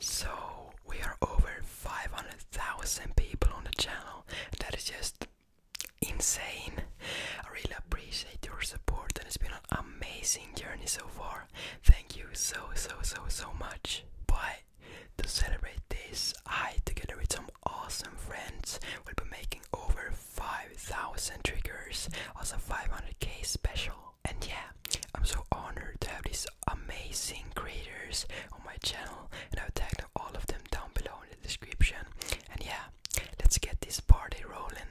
So we are over 500,000 people on the channel. That is just insane. I really appreciate your support and it's been an amazing journey so far. Thank you so so so so much. Bye. To celebrate this, I, together with some awesome friends, will be making over 5,000 triggers as a 500k special. And yeah, I'm so honored to have these amazing creators on my channel, and I'll tag all of them down below in the description. And yeah, let's get this party rolling.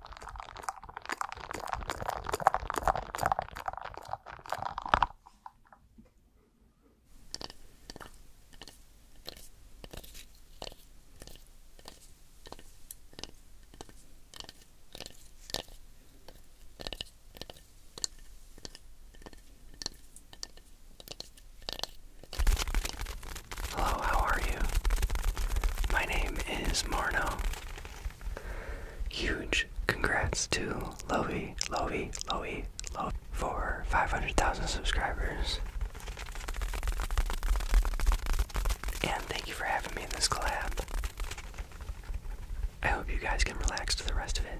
Hello, how are you? My name is Marno, Huge congrats to Lowy, Lowy, Lowy, Lowy for 500,000 subscribers. And thank you for having me in this collab. I hope you guys can relax to the rest of it.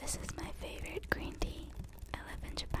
This is my favorite green tea. I live in Japan.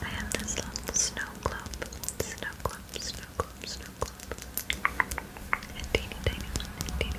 I have this little snow globe, snow globe, snow globe, snow globe. A teeny tiny tiny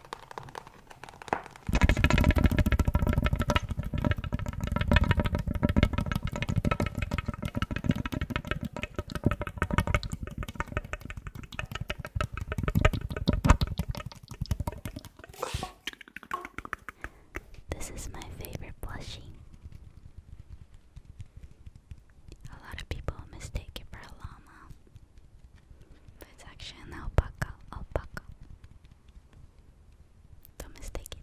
This is my favorite plushie. A lot of people mistake it for a llama. But it's actually an alpaca, alpaca. Don't mistake it.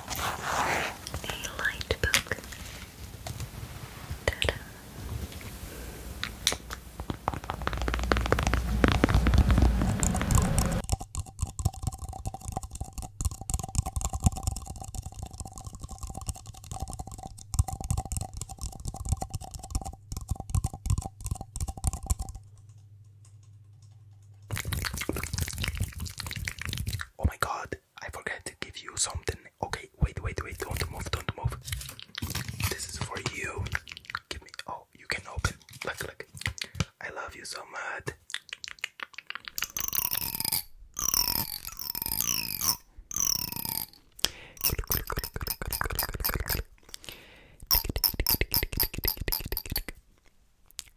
a light book. ta Oh my god, I forgot to give you something. Okay, wait, wait, wait, don't move, don't move. This is for you. Give me oh you can open. Look look. I love you so much.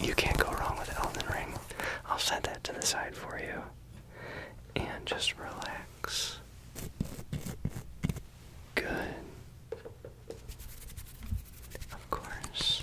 You can't go wrong with Elden Ring. I'll set that to the side for you. And just relax. Good. Of course.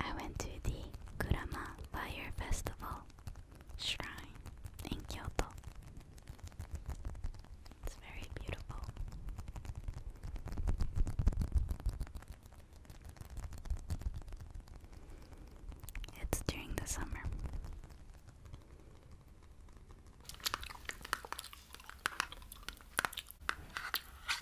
I went to the Ma Fire Festival shrine in Kyoto. It's very beautiful. It's during the summer.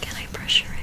Can I brush your hair?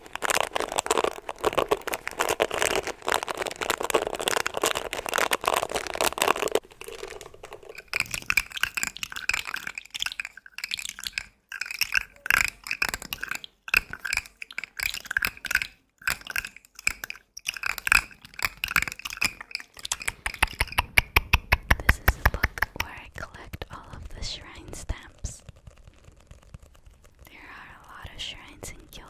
This is a book where I collect all of the shrine stamps there are a lot of shrines in Kyoto.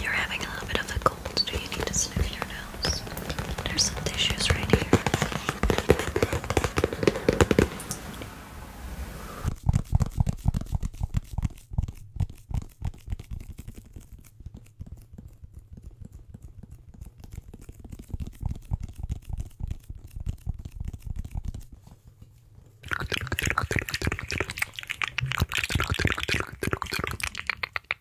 You're having a little bit of a cold. Do you need to sniff your nose? There's some tissues right here.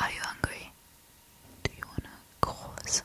Are you hungry? Do you want a croissant?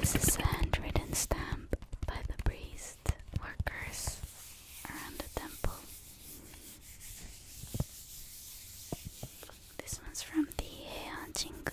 This is a handwritten stamp by the priest workers around the temple. This one's from the Heian Jingu.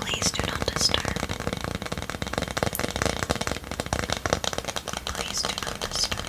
Please do not disturb. Please do not disturb.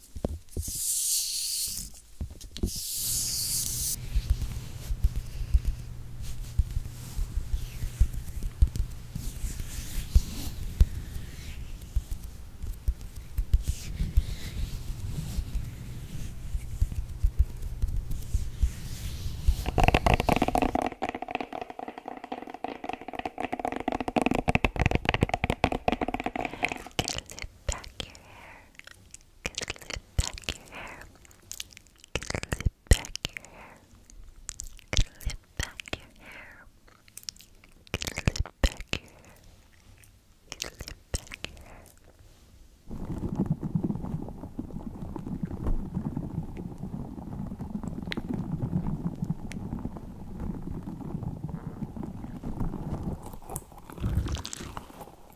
Zip back your hair. Can slip back your hair. Can slip back your hair. Can slip back your hair. Can slip back your hair. Can slip back your hair. Can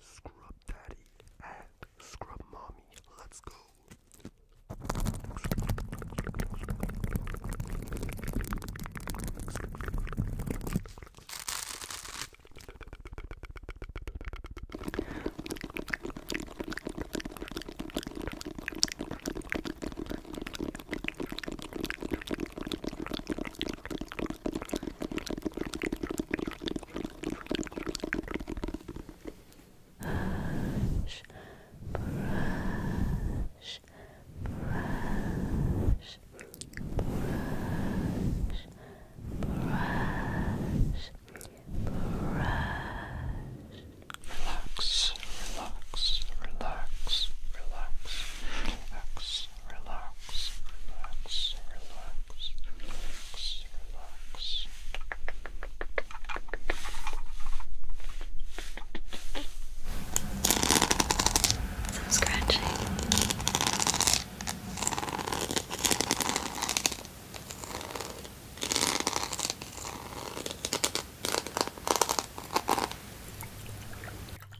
Scrub daddy and scrub mommy. Let's go. Brush, brush, brush, brush, brush, brush. Relax, relax, relax, relax, relax relax, relax, relax, relax, relax, relax. Some scratching.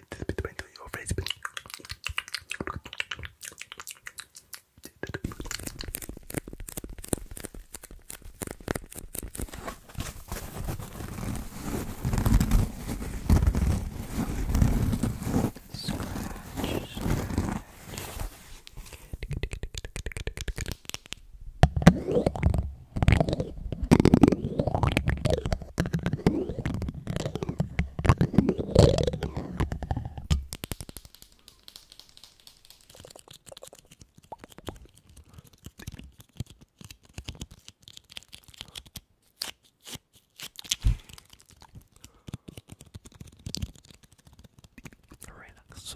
went this bit went to your face. But... Scratch, scratch. Relax, so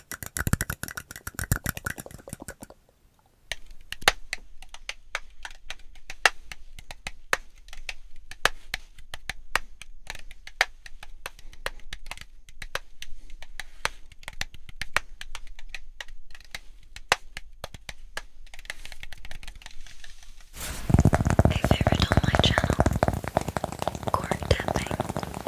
A favorite on my channel, cork tapping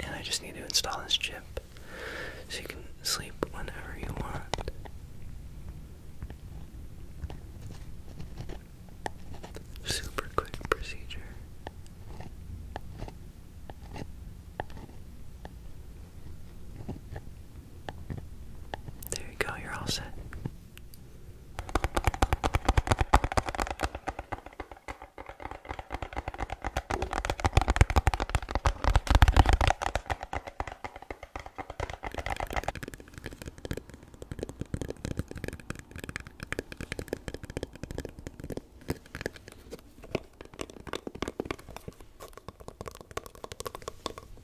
And I just need to install this chip so you can sleep whenever you want. Super quick procedure. There you go, you're all set.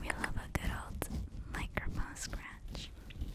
We love a good old microphone scratch. All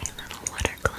A little water globe.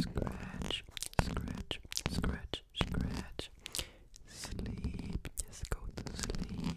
Scratch, scratch, scratch, scratch. Sleep, just go to sleep.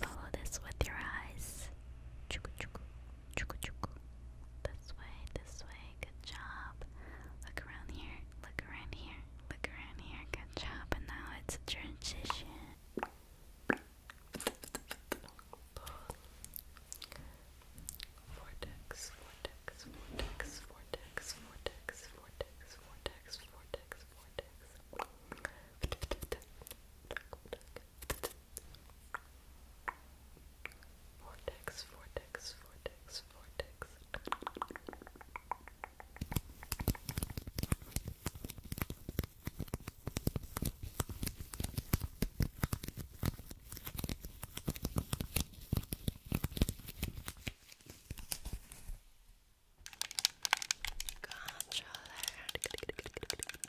Follow this with your eyes. Chuku chuku. Chuku chuku. This way, this way. Good job. Look around here. Look around here. Look around here. Good job. And now it's a transition. Vortex, vortex, vortex, vortex, vortex, vortex, vortex, vortex, vortex. Vortex, vortex, vortex, vortex. Controller.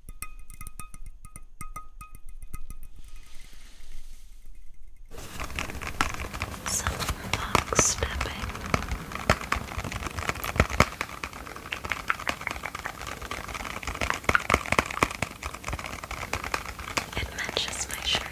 Some fox stepping. It matches my shirt.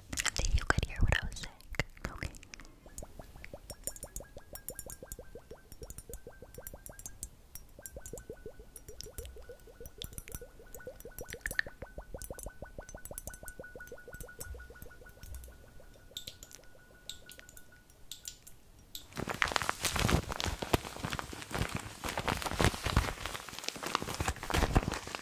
See, you could hear what I was saying. Okay.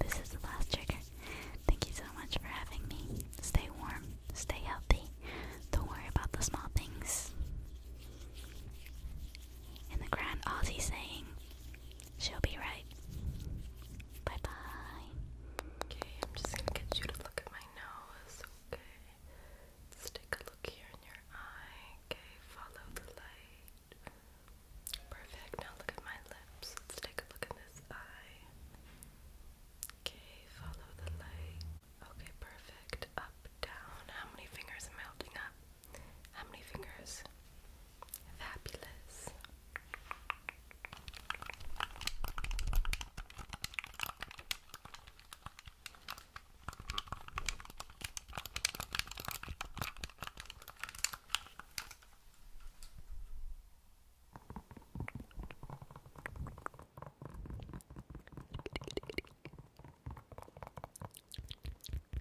This is the last trigger. Thank you so much for having me. Stay warm, stay healthy, don't worry about the small things and the Grand Aussie saying, She'll be right. Bye bye. Okay, I'm just gonna get you to look at my nose, okay? Let's take a look here in your eye, okay? Follow the light. Perfect. Now look at my lips. Let's take a look in this eye. Okay, follow the light. Okay, perfect. Up, down. How many fingers am holding up? How many fingers? Fabulous.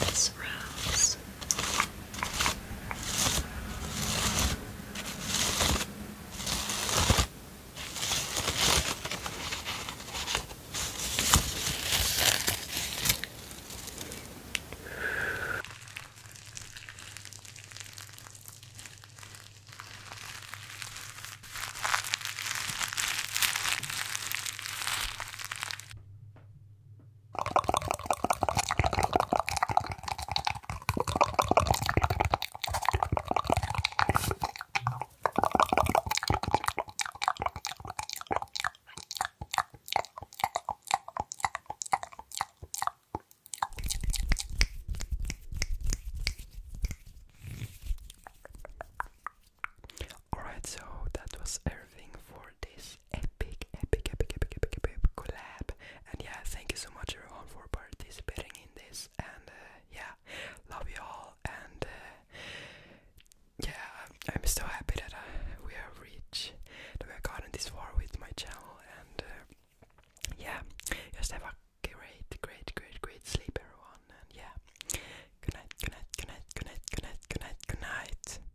this rose. Alright, so that was everything for this epic, epic, epic, epic, epic, epic collab. And yeah, thank you so much everyone for participating in this. And uh, yeah, love you all. And uh, yeah, I'm so happy that uh, we have reached, that we have gotten this far with my channel. And yeah, just have a great, great, great, great sleep, everyone. And yeah, good night, good night, good night, good good night, good night, good night. Good night.